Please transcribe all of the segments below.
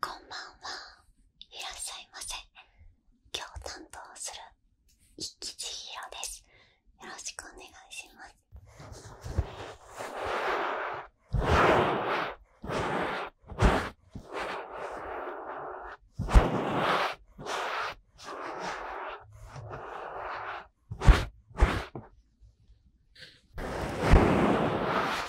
こんばんはいらっしゃいませ今日担当する一吉千ですよろしくお願いします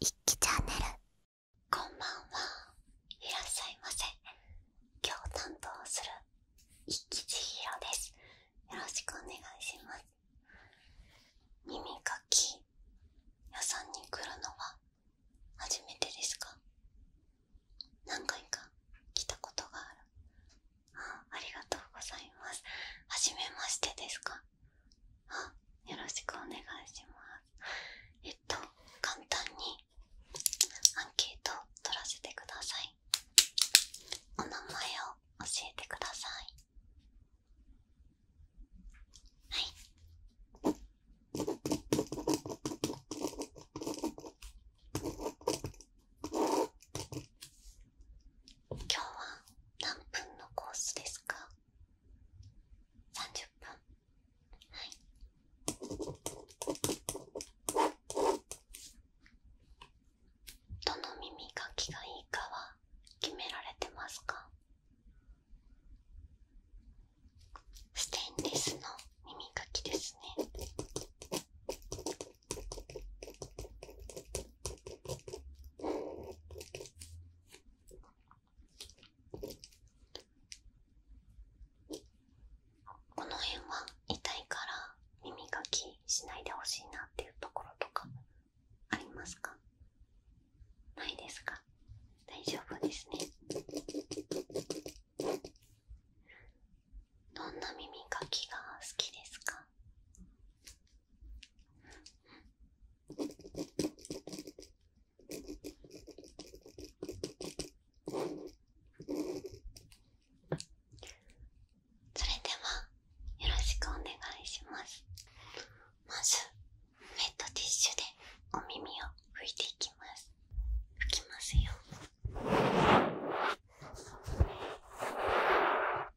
一気チャンネルこんばんはいらっしゃいませ今日担当する一気千尋ですよろしくお願いします耳かき屋さんに来るのは初めてですか何回か来たことがあるありがとうございます。はじめましてですかあよろしくお願いします。えっと、簡単にアンケートを取らせてください。お名前を教えてください。はい。今日は何分のコースですか30分はいどの耳かきがいいかは決められてますかステンレスの耳かきですねこの辺は痛いから耳かきしないでほしいなっていうところとかありますかないですか大丈夫ですねどんな耳かきが好きですかそれではよろしくお願いしますまずウェットティッシュでお耳を拭いていきます拭きますよこっ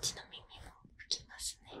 ちの耳も吹きますね。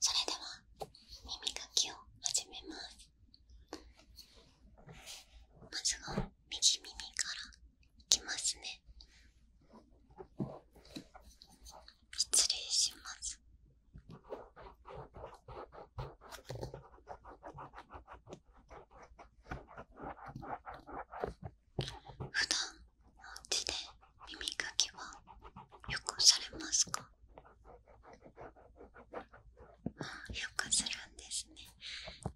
それでは耳かきを始めますまずは右耳からいきますね失礼します普段耳かきはよくされますかよくするんですね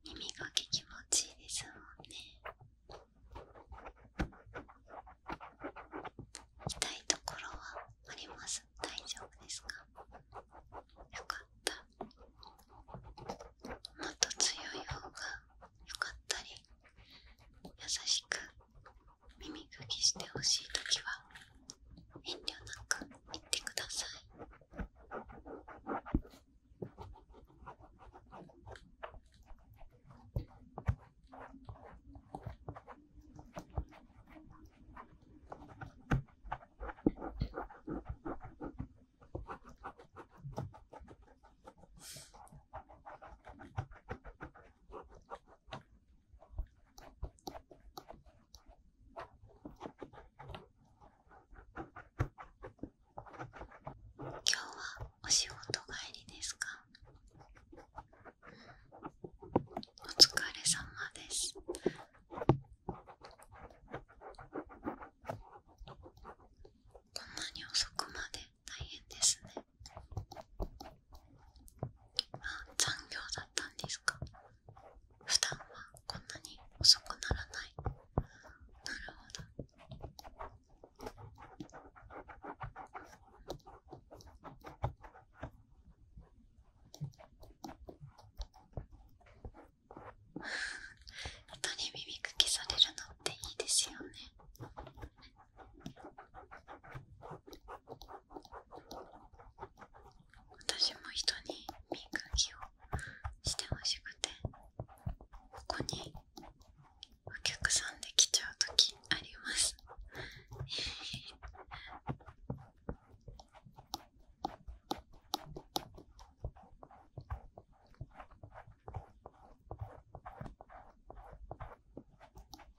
耳かき気持ちいいですもんね痛いところはあります大丈夫ですかよかったもっと強い方がよかったり優しく耳かきしてほしいときは遠慮なく言ってください今日はお仕事帰りですか、お疲れ様ですこんなに遅くまで大変ですねあ残業だったんですか普段はこんなに遅くならないなるほど 人に耳かきされるのっていいですよね私も人に磨きをしてほしくてここにお客さんできちゃう時あります。え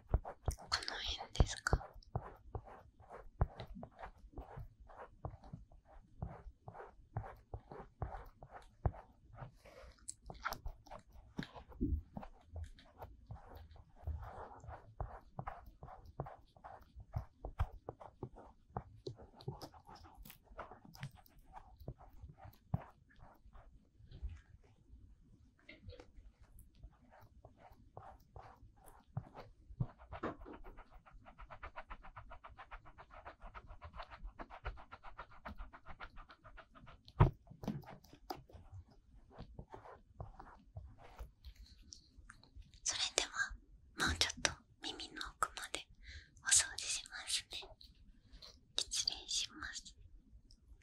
この辺ですかそれではもうちょっと耳の奥までお掃除しますね失礼します。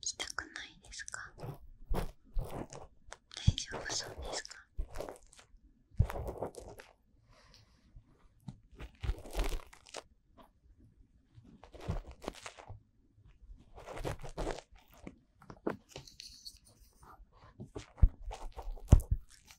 痛くないですか大丈夫そうですか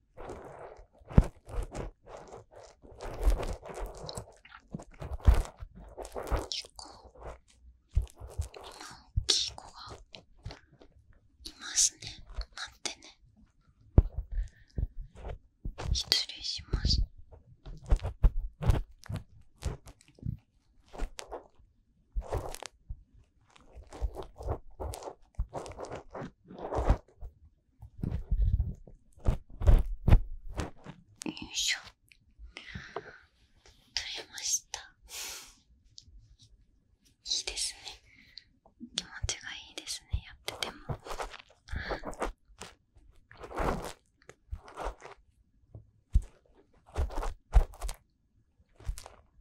結構今大きい子がいますね待ってね失礼しますよいしょ取れましたいいですね気持ちがいいですねやっててもよ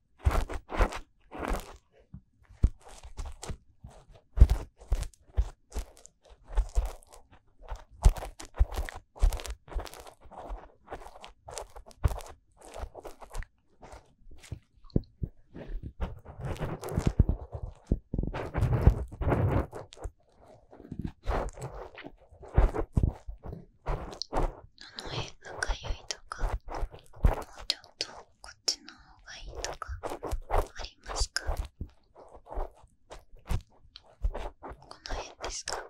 どの辺がかゆいとかもうちょっとこっちの方がいいとかありますかこの辺ですかこ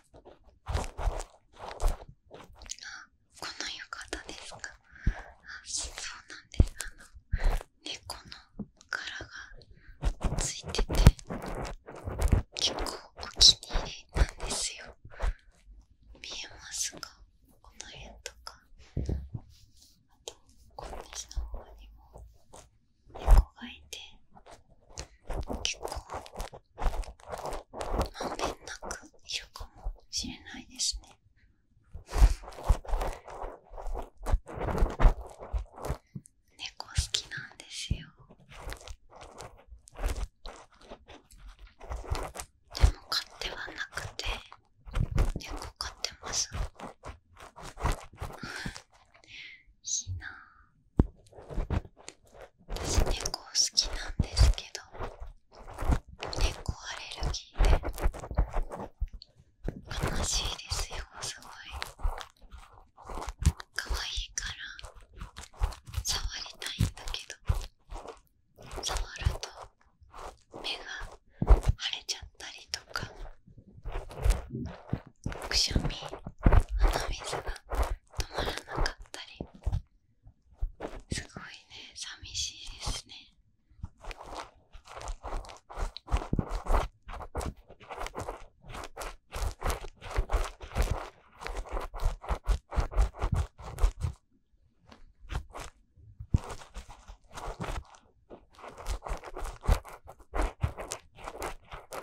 この浴衣ですかあそうなんですあの猫の柄がついてて結構お気に入りなんですよ見えますかこの辺とかとこっちにも猫がいて結構まんべんなくいるかもしれないですね。猫好きなんですよ。でも飼ってはなくて猫飼ってますいい な私猫好きなんですけど猫アレルギーで悲しいですよすごい可愛いから触りたいんだけど触ると目が腫れちゃったりとかくしゃみ鼻水が止まらなかったりすごいね寂しいですねうん。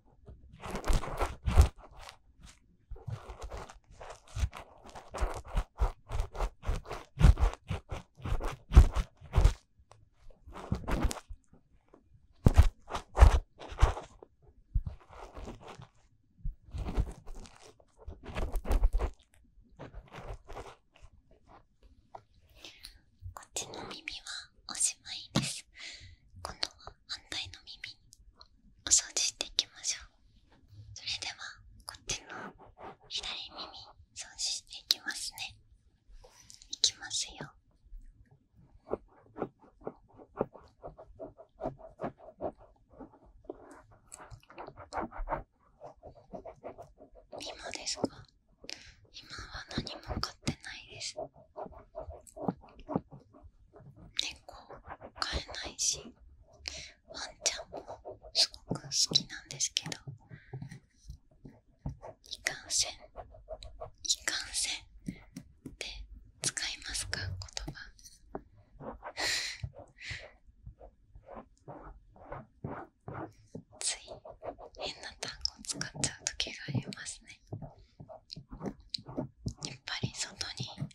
こっちの耳はおしまいです。反対の耳お掃除していきましょうそれではこっちの左耳掃除していきますねいきますよ今かは何も買ってないです猫飼えないしワンちゃんもすごく好きなんですけどいかんせんいかんせんって使いますか言葉 つい変な単語使っちゃう時がありますね。やっぱり外に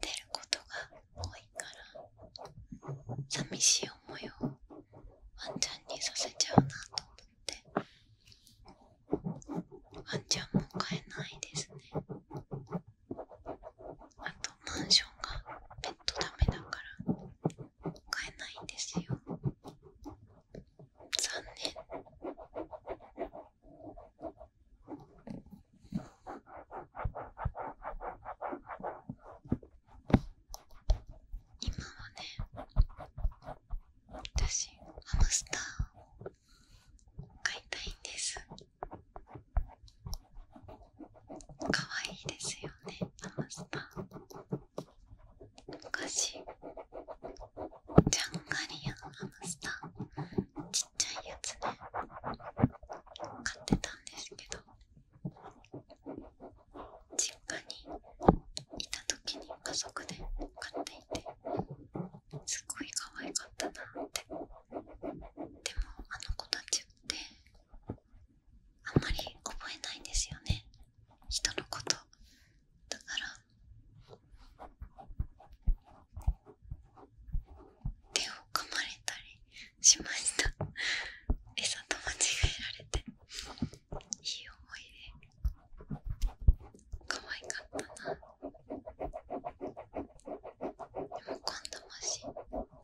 出ることが多いから寂しい思いをワンちゃんにさせちゃうなと思ってワンちゃんも買えないですねあとマンションがペットダメだから買えないんですよ残念今はね私ハムスターを飼いたいんです可愛いですよねハムスター昔ジャンガリアのハムスターちっちゃいやつね買ってたんですけど実家にいた時に家族で買っていてすごい可愛かったなってでもあの子たちってあんまり覚えないんですよね人のことだから手を噛まれたりしました 餌と間違えられていい思い出可愛かったなでも今度もし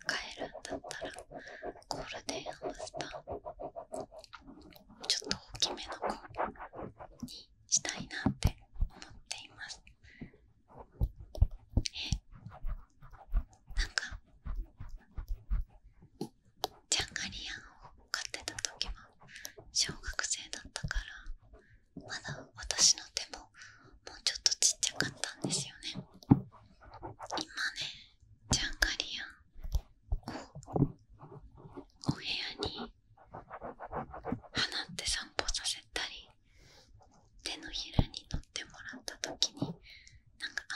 帰るんだったらゴールデンハムスターちょっと大きめの子ににしたいなって思っていますえなんかジャンガリアンを飼ってた時は小学生だったからまだ私の手ももうちょっとちっちゃかったんですよね今ねジャンガリアンお部屋に花って散歩させたり手のひらに乗ってもらった時になんか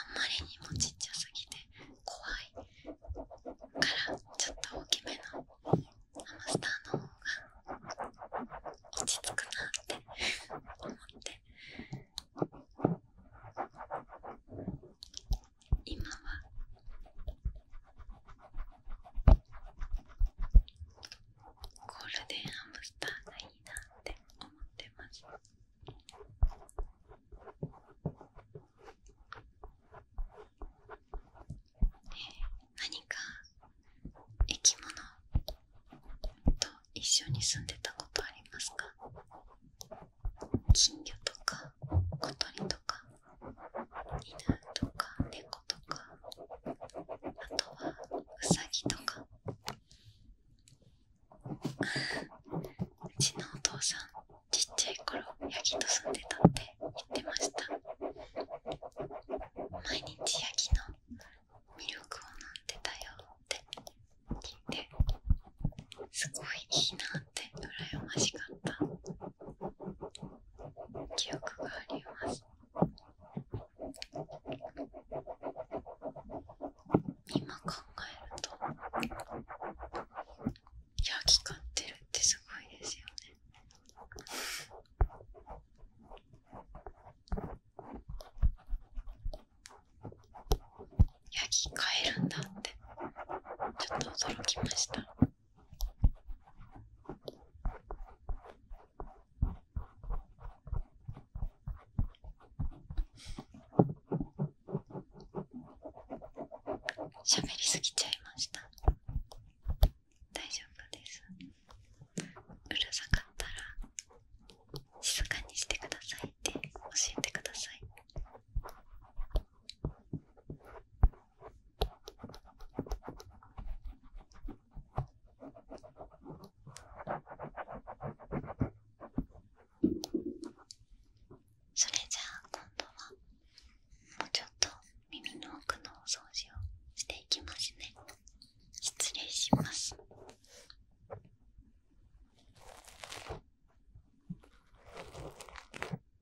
あんまりにもちっちゃすぎて怖いからちょっと大きめのハムスターの方が落ち着くなって思って。今はゴールデンハムスターがいいなって思ってます。え何か生き物と一緒に住んでたことありますか金魚とか小鳥とか犬とか猫とかあとはウサギとかうちのお父さんちっちゃい頃ヤギと住んでたって言ってました毎日ヤギの魅力を飲んでたよって聞いてすごいいいなって羨ましかった記憶があります今考えるとヤギ飼ってるってすごいですよねヤギ飼えるんだってちょっと驚きました喋りすぎちゃいました大丈夫ですうるさかったら静かにしてくださいって教えてくださいそれじゃあ今度はもうちょっと耳の奥のお掃除をしていきますね失礼します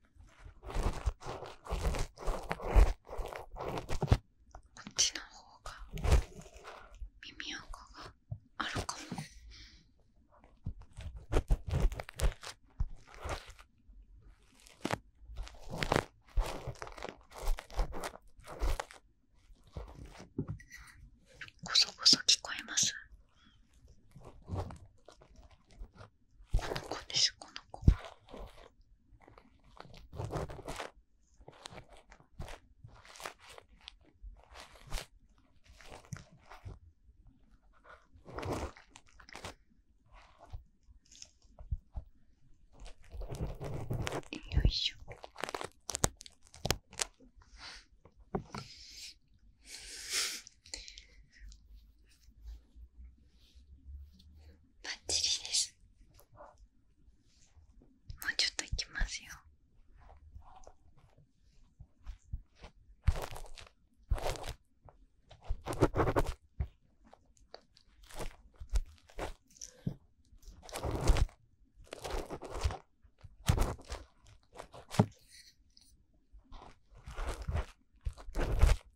こっちの方が耳垢があるかも。こそこそ聞こえます。この子です、この子。よいしょ。バッチリですもうちょっといきますよこ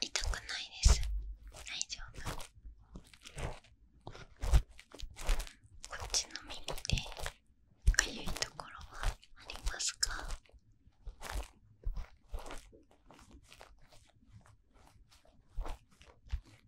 痛くないです大丈夫こっちの耳でかゆいところはありますか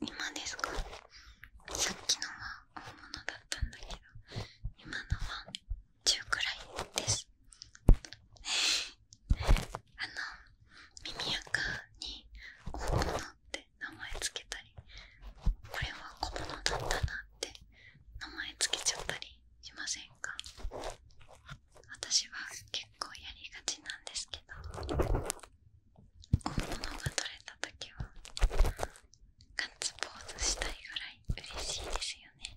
今ですかさっきのは本物だったんだけど今のは中くらいです。あの耳垢に大物って名前つけたりこれは小物だったなって名前つけちゃったりしませんか私は結構やりがちなんですけど小物が取れた時はガッツポーズしたいぐらい嬉しいですよね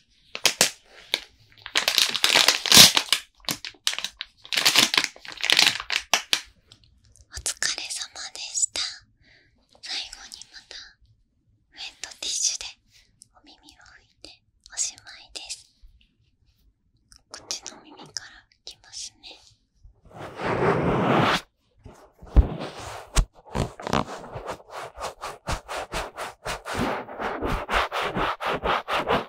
お疲れ様でした。最後にまたウェットティッシュでお耳を拭いておしまいです。口の耳から拭きますね。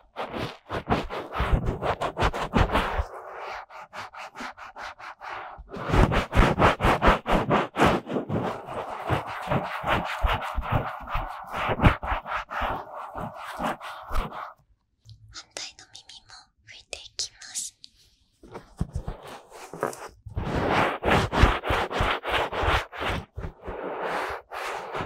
反対の耳も拭いていきます。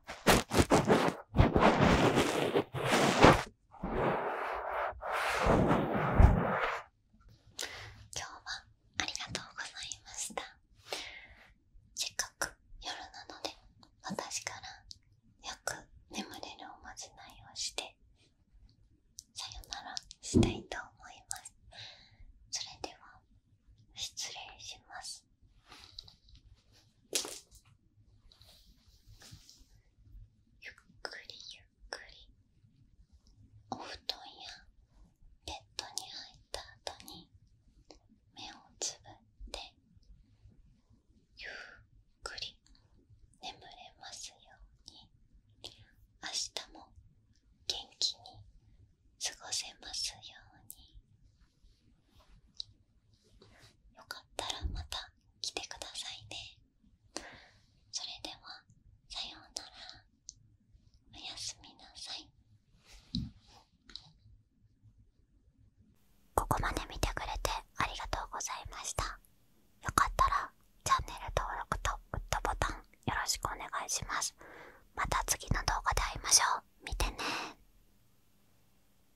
今日はありがとうございましたせっかく夜なので私からよく眠れるおまじないをしてさよならしたいと思いますそれでは失礼しますゆっくりゆっくりお布団やベッドに入った後に目をつぶってゆっくり眠れますように明日も元気に過ごせますように。よかったらまた来てくださいねそれではさようならおやすみなさいここまで見てくれてありがとうございましたよかったらチャンネル登録とグッドボタンよろしくお願いしますまた次の動画で会いましょう見てね